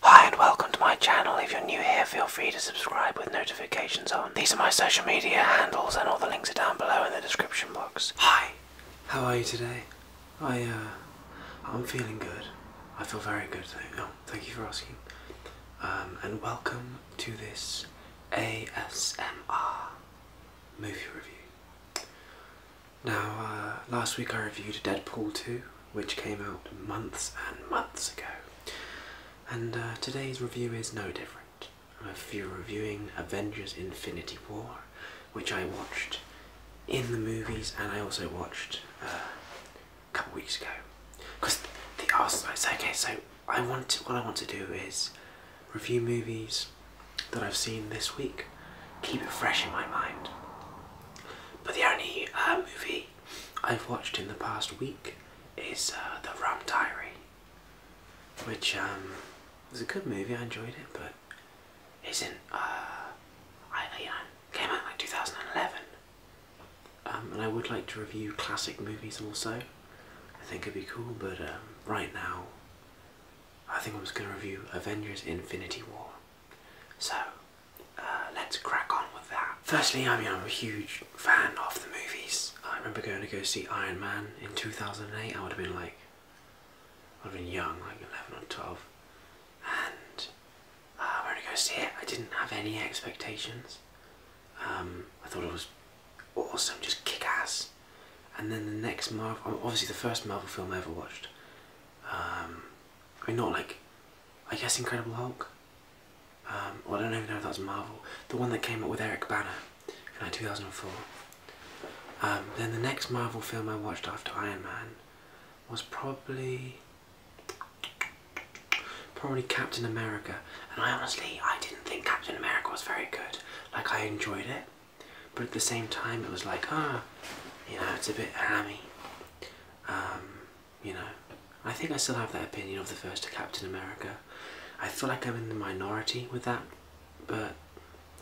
Hi and welcome to my channel. If you're new here, feel free to subscribe with notifications on. These are my social media handles and all the links are down below in the description box. Hi, how are you today? I, uh, I'm feeling good. I feel very good. Thank, oh, you for asking. Um, and welcome to this ASMR movie review. Now, uh, last week I reviewed Deadpool 2 which came out months and months ago. And uh, today's review is no different. I'm reviewing Avengers Infinity War, which I watched in the movies and I also watched uh, a couple weeks ago. Because the Arsenal, okay, so I want to, what I want to do is review movies that I've seen this week, keep it fresh in my mind. But the only uh, movie I've watched in the past week is uh, The Rum Diary, which um, was a good movie. I enjoyed it, but it's uh, in uh, came out like 2011. Um, and I would like to review classic movies also. I think it'd be cool, but um, right now, I think I was going to review Avengers Infinity War. So, uh, let's crack on with that. Firstly, I mean, I'm a huge fan of the movies. I remember going to go see Iron Man in 2008. I would have been like, I'd have been young, like 11 or 12. And uh, I went to go see it. I didn't have any expectations. Um, I thought it was awesome, just kick ass. And then the next Marvel, obviously the first Marvel film I ever watched. Um, I mean, not like, I guess Incredible Hulk. Um, I don't even know if that was Marvel. The one that came up with Eric Banner in like 2004. Um, then the next Marvel film I watched after Iron Man was probably probably Captain America. And I honestly, I didn't think Captain America was very good. Like I enjoyed it, but at the same time, it was like, ah, oh, you know, it's a bit hammy. Um, you know, I think I still have that opinion of the first Captain America. I feel like I'm in the minority with that, but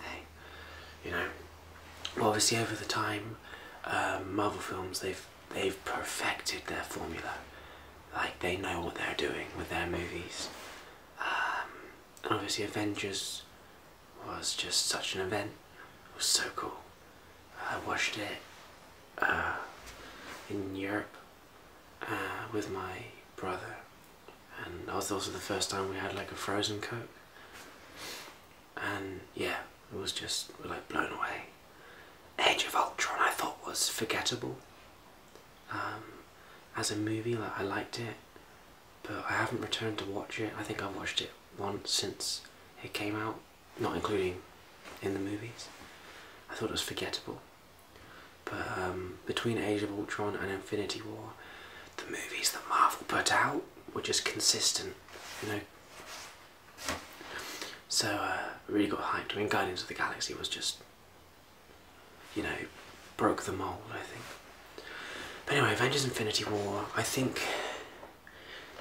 hey, you know, well, obviously over the time, uh, Marvel films they've they've perfected their formula. Like they know what they're doing with their movies. Um, obviously, Avengers was just such an event. It was so cool. I watched it uh, in Europe uh, with my brother, and that was also the first time we had like a frozen coke. And yeah, it was just like blown away. Age of Ultron, I thought was forgettable um, as a movie. Like I liked it but I haven't returned to watch it. I think I've watched it once since it came out, not including in the movies. I thought it was forgettable. But um, between Age of Ultron and Infinity War, the movies that Marvel put out were just consistent, you know. So uh, really got hyped. I mean, Guardians of the Galaxy was just, you know, broke the mold. I think. But anyway, Avengers Infinity War, I think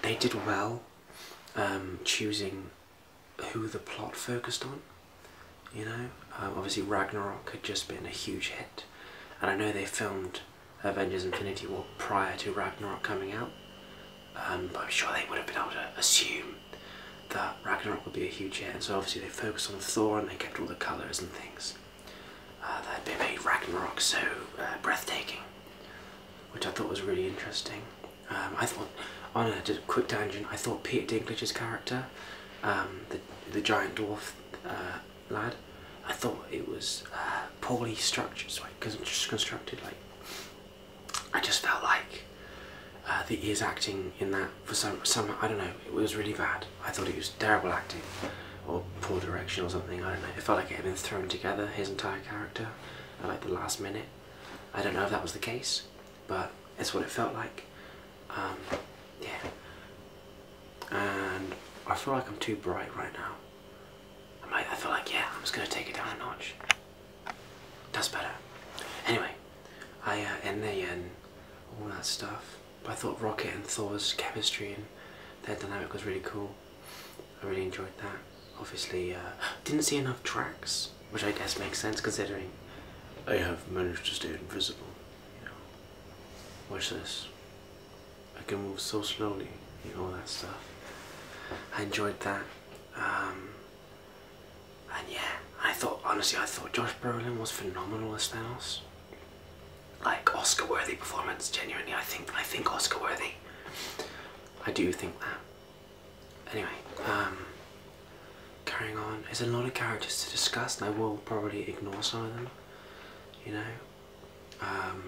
they did well um, choosing who the plot focused on. You know, um, obviously Ragnarok had just been a huge hit, and I know they filmed Avengers Infinity War prior to Ragnarok coming out, um, but I'm sure they would have been able to assume that Ragnarok would be a huge hit, and so obviously they focused on Thor and they kept all the colours and things uh, that made been and Ragnarok so uh, breathtaking, which I thought was really interesting. Um, I thought, on a quick tangent, I thought Peter Dinklage's character, um, the, the giant dwarf uh, lad, I thought it was uh, poorly structured, so I just constructed. Like, I just felt like the ears acting in that for some some I don't know. It was really bad. I thought it was terrible acting or poor direction or something. I don't know. It felt like it had been thrown together, his entire character, like the last minute. I don't know if that was the case, but it's what it felt like. Um, yeah. And I feel like I'm too bright right now. I might. I feel like yeah. I'm just gonna take it down a notch. That's better. Anyway, I uh, in the end, all that stuff. But I thought Rocket and Thor's chemistry and their dynamic was really cool. I really enjoyed that. Obviously, uh, didn't see enough tracks, which I guess makes sense considering I have managed to stay invisible. watch this. I can move so slowly, you know, all that stuff. I enjoyed that. Um, and yeah, I thought, honestly, I thought Josh Brolin was phenomenal as Thanos like Oscar worthy performance. Genuinely, I think I think Oscar worthy. I do think that. Anyway, um, carrying on. There's a lot of characters to discuss, and I will probably ignore some of them. You know, um,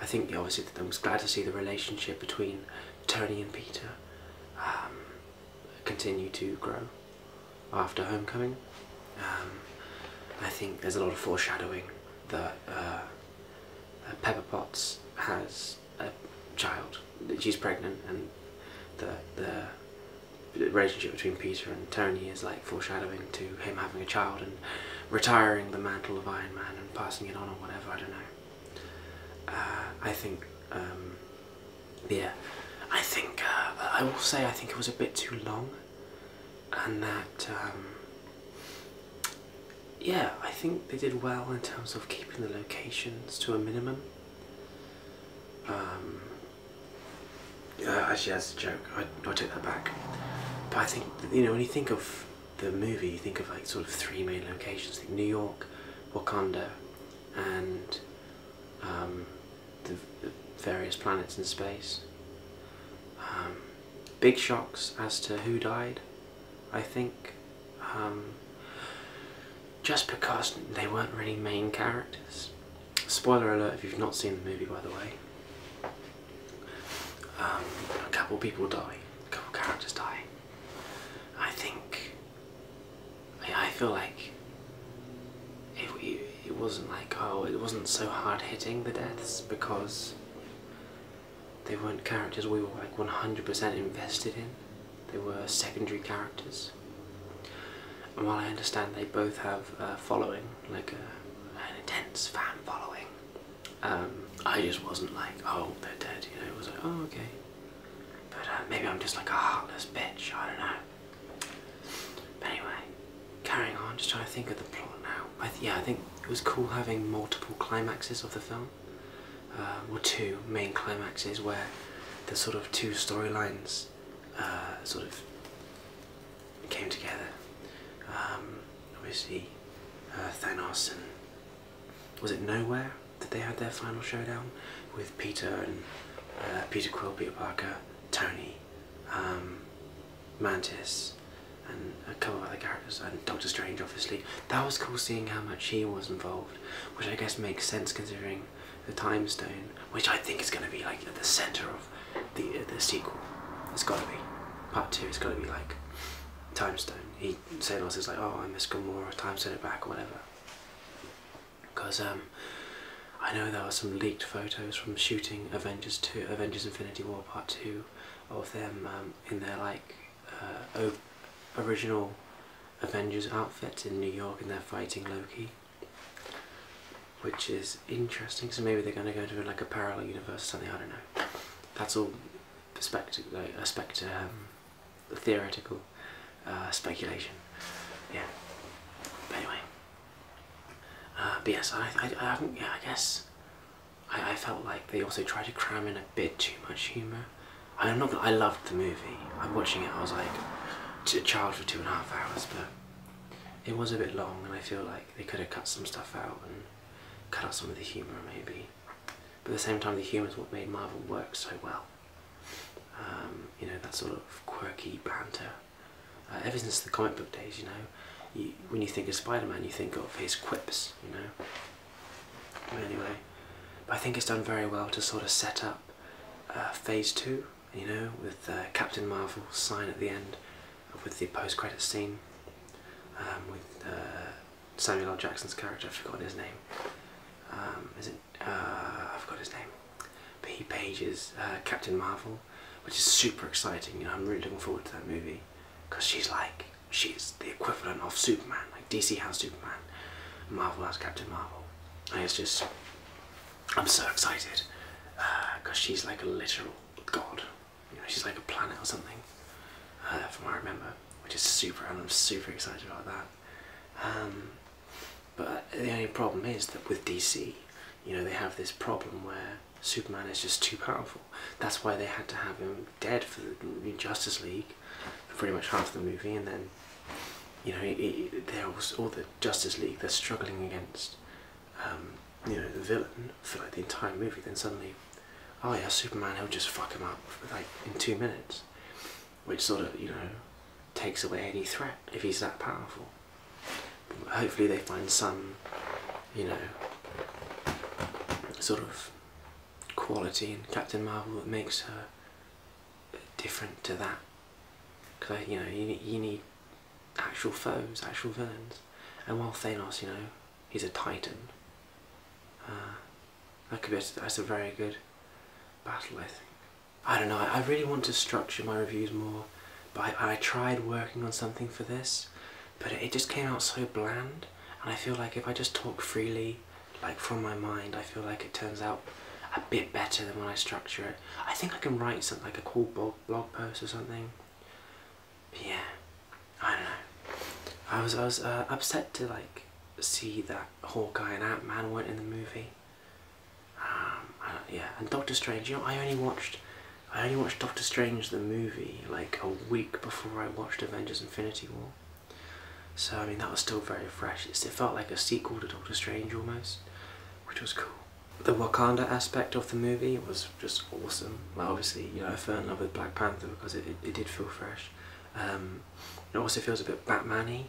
I think obviously I was glad to see the relationship between Tony and Peter. Um, continue to grow after Homecoming. Um, I think there's a lot of foreshadowing that uh, Pepper Potts has a child. She's pregnant, and the the relationship between Peter and Tony is like foreshadowing to him having a child and retiring the mantle of Iron Man and passing it on or whatever. I don't know. Uh, I think um, yeah, I think uh, I will say I think it was a bit too long, and that um, yeah, I think they did well in terms of keeping the locations to a minimum. Um, yeah, actually, that's a joke. I, I take that back. But I think you know when you think of the movie, you think of like sort of three main locations: like New York, Wakanda, and um, the, various planets in space. Um, big shocks as to who died, I think. Um, just because they weren't really main characters. Spoiler alert if you've not seen the movie, by the way. a couple people die, a couple characters die. I think I feel like it, wasn't like, oh, it wasn't so hard hitting the deaths because they weren't characters we were like 100% invested in. They were secondary characters. And while I understand they both have a following, like an intense fan following, um, I just wasn't like, oh, they're dead, you know, it was like, oh, okay. But uh, maybe I'm just like a heartless bitch, I don't know. But anyway, carrying on, just trying to think of the plot now. I yeah, I think it was cool having multiple climaxes of the film. or uh, two main climaxes where the sort of two storylines uh, sort of came together. Um, obviously, Thanos and was it Nowhere? that they had their final showdown with Peter and uh, Peter Quill, Peter Parker, Tony, um, Mantis, and a couple of other characters, and Doctor Strange, obviously. That was cool seeing how much he was involved, which I guess makes sense considering the Time Stone, which I think is going to be like at the center of the uh, the sequel. It's got to be. Part two it It's got to be like Time Stone. He said oh, Thanos is like, oh, I miss Gamora, Time Stone it back, or whatever because um, I know there were some leaked photos from shooting Avengers 2, Avengers Infinity War Part 2 of them um, in their like uh, original Avengers outfits in New York and they're fighting Loki which is interesting so maybe they're going to go into like a parallel universe or something I don't know that's all perspective. like, theoretical uh, speculation. Yeah. But anyway. Uh, I, I, haven't, yeah, I guess I, felt like they also tried to cram in a bit too much humour. know that I loved the movie. I'm watching it, I was like, a child for two and a half hours, but it was a bit long and I feel like they could have cut some stuff out and cut out some of the humour maybe but at the same time the humour is what made Marvel work so well. Um, you know, that sort of quirky banter. Uh, ever since the comic book days, you know, when you think of Spider-Man, you think of his quips, you know. anyway, I think it's done very well to sort of set up uh, Phase 2, you know, with uh, Captain Marvel's sign at the end, with the post-credit scene, um, with Samuel L. Jackson's character, I forgot his name. Um, is it? Uh, I forgot his name. But he pages uh, Captain Marvel, which is super exciting. I'm really looking forward to that movie because she's like she's the equivalent of Superman. Like DC has Superman, Marvel has Captain Marvel. And it's just I'm so excited because uh, she's like a literal god. she's like a planet or something, from I remember which is super, and I'm super excited about that. Um, but the only problem is that with DC, you know, they have this problem where Superman is just too powerful. That's why they had to have him dead for the Justice League, for pretty much half the movie, and then, you know, all the Justice League, they're struggling against, um, you know, the villain for like the entire movie. Then suddenly oh yeah, Superman, he'll just fuck him up like in two minutes, which sort of you know takes away any threat if he's that powerful. hopefully, they find some you know sort of quality in Captain Marvel that makes her different to that. Because you know you you need actual foes, actual villains, and while Thanos, you know, he's a titan. Uh, that could be that's a very good battle, I think. I don't know. I, really want to structure my reviews more, but I, tried working on something for this, but it, just came out so bland. And I feel like if I just talk freely, like from my mind, I feel like it turns out a bit better than when I structure it. I think I can write something like a cool blog post or something yeah, I don't know. I was I was uh, upset to like see that Hawkeye and Ant Man weren't in the movie. Um, yeah, and Doctor Strange. You know, I only watched I only watched Doctor Strange the movie like a week before I watched Avengers: Infinity War. So I mean that was still very fresh. It felt like a sequel to Doctor Strange almost, which was cool. The Wakanda aspect of the movie was just awesome. Like obviously, you know, I fell in love with Black Panther because it, it, did feel fresh. Um, it also feels a bit Batman-y,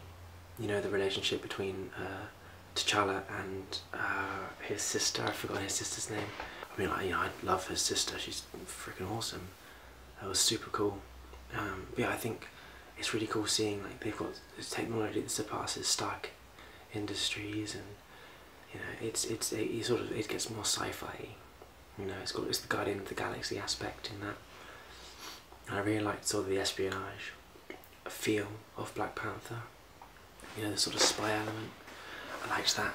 you know, the relationship between uh, T'Challa and uh, his sister. I forgot his sister's name. I mean, like, you know, I love his sister. She's freaking awesome. That was super cool. Um, yeah, I think it's really cool seeing like they've got this technology that surpasses Stark Industries and you know, it's it's it sort of it gets more sci-fi you know, it's got it's the Guardian of the Galaxy aspect in that. I really liked sort of the espionage feel of Black Panther. You know, the sort of spy element. I liked that.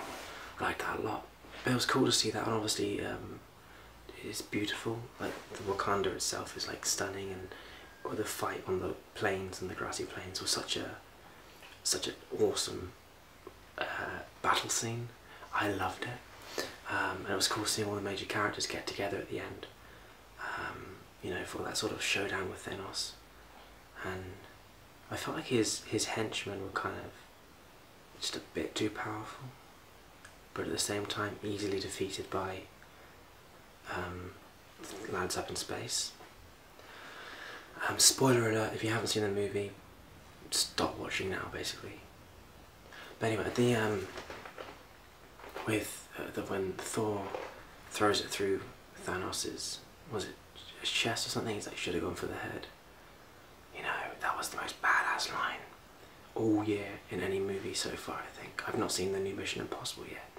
I liked that a lot. it was cool to see that, and obviously, um, it's beautiful. Like the Wakanda itself is like stunning, and the fight on the plains and the grassy plains was such a such an awesome uh, battle scene. I loved it, um, and it was cool seeing all the major characters get together at the end. Um, you know, for that sort of showdown with Thanos, and I felt like his his henchmen were kind of just a bit too powerful, but at the same time easily defeated by um, lads up in space. Um, spoiler alert, if you haven't seen the movie, stop watching now, basically. But anyway, the, um, with, uh, the, when Thor throws it through Thanos's, was it his chest or something? He should have gone for the head. You know, that was the most badass line all year in any movie so far, I think. I've not seen the new Mission Impossible yet,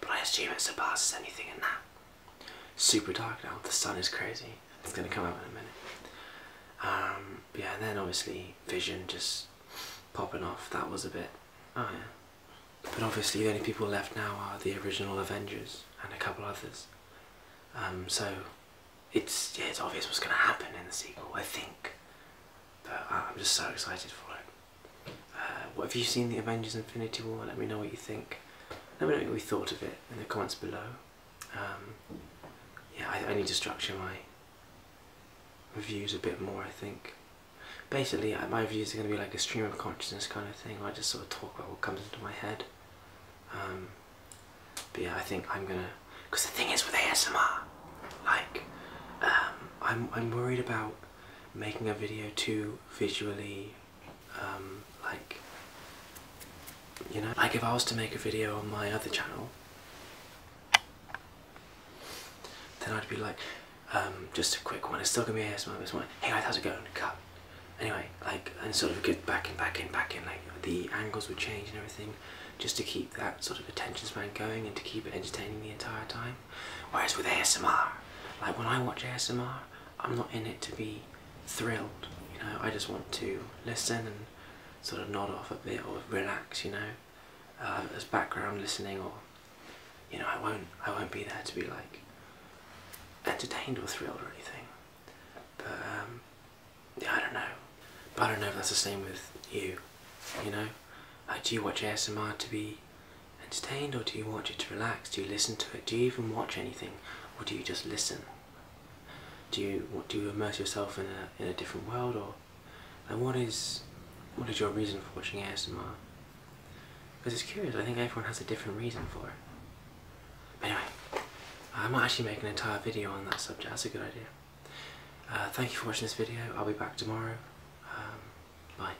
but I assume it surpasses anything in that super dark now. The sun is crazy. It's gonna come out in a minute. Um, yeah, and then obviously Vision just popping off. That was a bit. Oh yeah. But obviously the only people left now are the original Avengers and a couple others. Um, so it's yeah, it's obvious what's gonna happen in the sequel. I think. But I'm just so excited for it. Uh, what have you seen the Avengers Infinity War? Let me know what you think. Let me know what we thought of it in the comments below. Um, yeah, I, need to structure my reviews a bit more, I think. Basically, uh, my reviews are going to be like a stream of consciousness kind of thing, where I just sort of talk about what comes into my head. Um, but yeah, I think I'm going to... Because the thing is with ASMR, like, um, I'm, I'm worried about making a video too visually um, like you know like if I was to make a video on my other channel then I'd be like um, just a quick one it's still gonna be ASMR this one hey guys how's it going cut anyway like and sort of get back in back in back in like the angles would change and everything just to keep that sort of attention span going and to keep it entertaining the entire time whereas with ASMR like when I watch ASMR I'm not in it to be thrilled, you know, I just want to listen and sort of nod off a bit or relax, you know, uh, as background listening or, you know, I won't, I won't be there to be like entertained or thrilled or anything, but um, yeah, I don't know, but I don't know if that's the same with you, you know, like uh, do you watch ASMR to be entertained or do you want it to relax? Do you listen to it? Do you even watch anything or do you just listen? Do you do you immerse yourself in a in a different world or and what is what is your reason for watching ASMR? Because it's curious, I think everyone has a different reason for it. But anyway, I might actually make an entire video on that subject, that's a good idea. Uh, thank you for watching this video, I'll be back tomorrow. Um, bye.